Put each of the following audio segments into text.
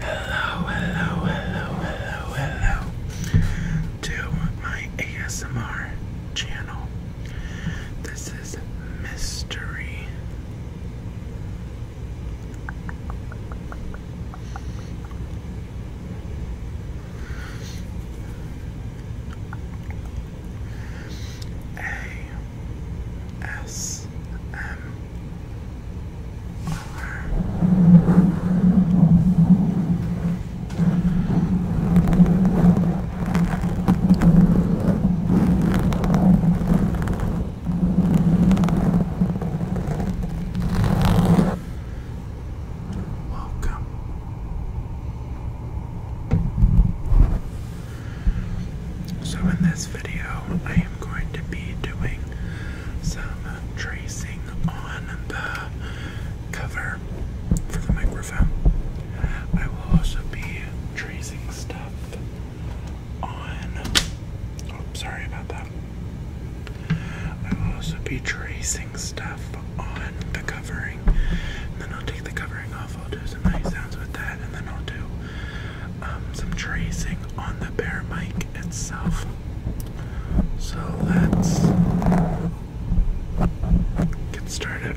Hello, hello, hello, hello, hello to my ASMR channel. This is Mystery. A S M Welcome. So, in this video, I am going to be doing some tracing on the cover for the microphone. I will also be tracing stuff on. Oh, sorry about that. I will also be tracing stuff on the covering. And then I'll take the covering off. I'll do some nice sounds with that, and then I'll do um, some tracing on the bear mic itself. So let's get started.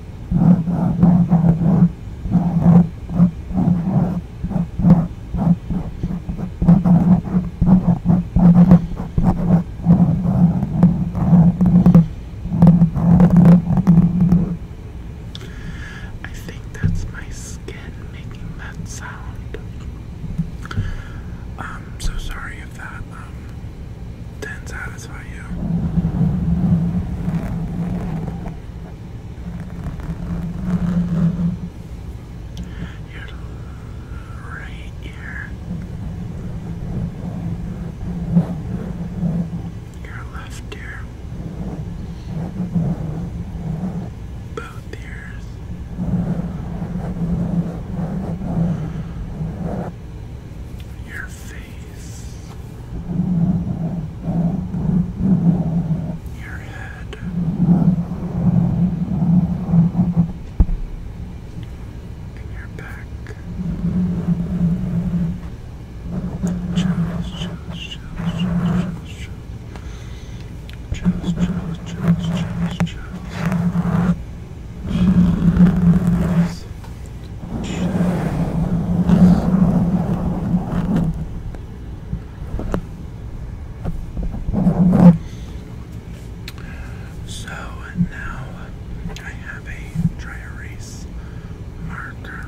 I think that's my skin making that sound. I'm um, so sorry if that um, didn't satisfy you. Your right ear. Your left ear. Both ears. Your face face, your head. And your back. Chills, chills, chills, chills, chills, chills, chills, chills, chills, chills, chills, chills. So now I have a dry erase marker.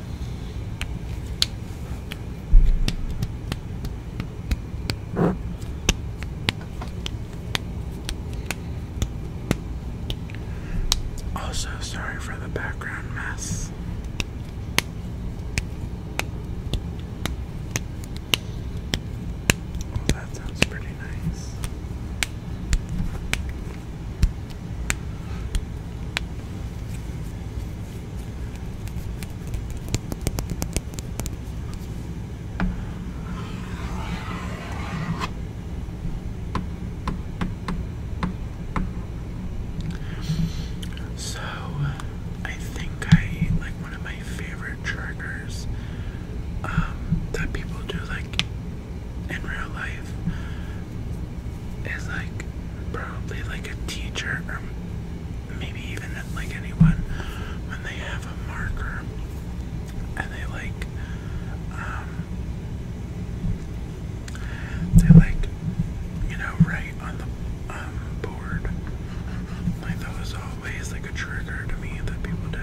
Also, sorry for the background mess. Oh, that sounds pretty nice. So, I think I like one of my favorite triggers um, that people do like in real life is like probably like a teacher or maybe even like anyone when they have a marker and they like um they like you know write on the um, board like that was always like a trigger to me that people did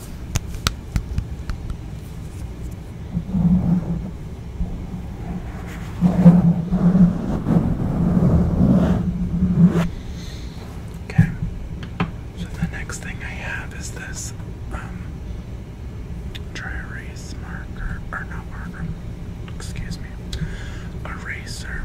Okay, so the next thing I have is this um, dry erase marker, or not marker, excuse me, eraser.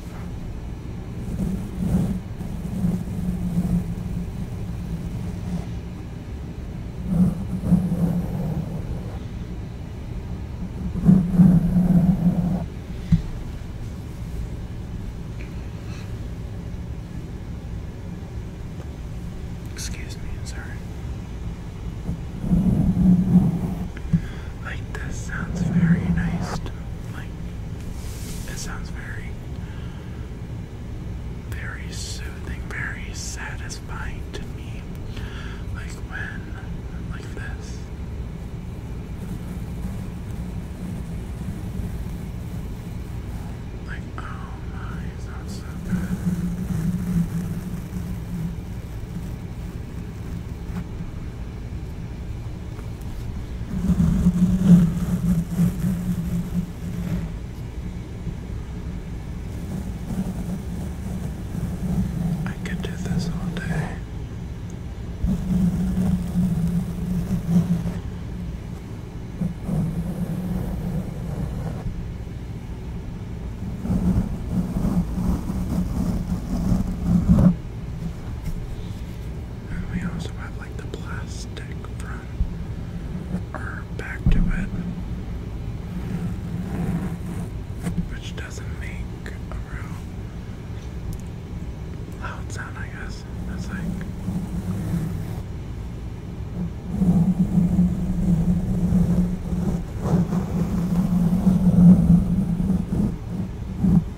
Excuse me, sorry. Like this sounds very nice like, it sounds very, very soothing, very satisfying to me. Like when, like this. Like, oh my, it sounds I could do this all day. And we also have like the plastic front or back to it, which doesn't make a real loud sound, I guess. It's like.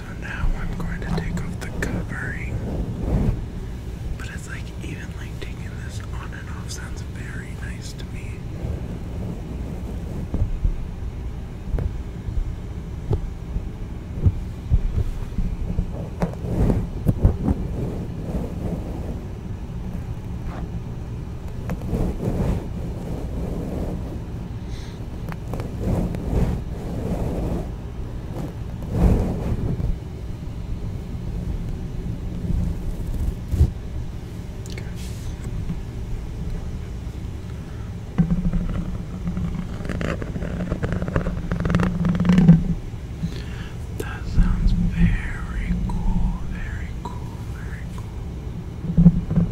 so now I'm going to take off the covering. But it's like even like taking this on and off sounds very nice to me. That sounds very cool, very cool, very cool.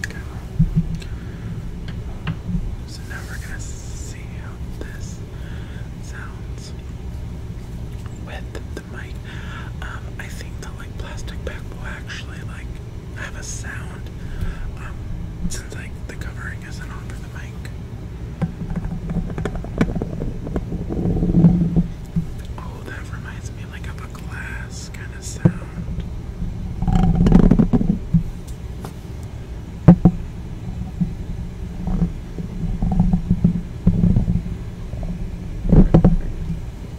Okay, well. So now we're going to see how this sounds with the mic. Um, I think the like plastic bag will actually like I have a sound um, since like the covering isn't on for the mic. Oh, that reminds me like of a glass kind of sound.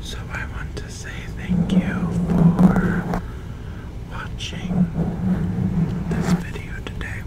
So I want to say thank you for watching this video today.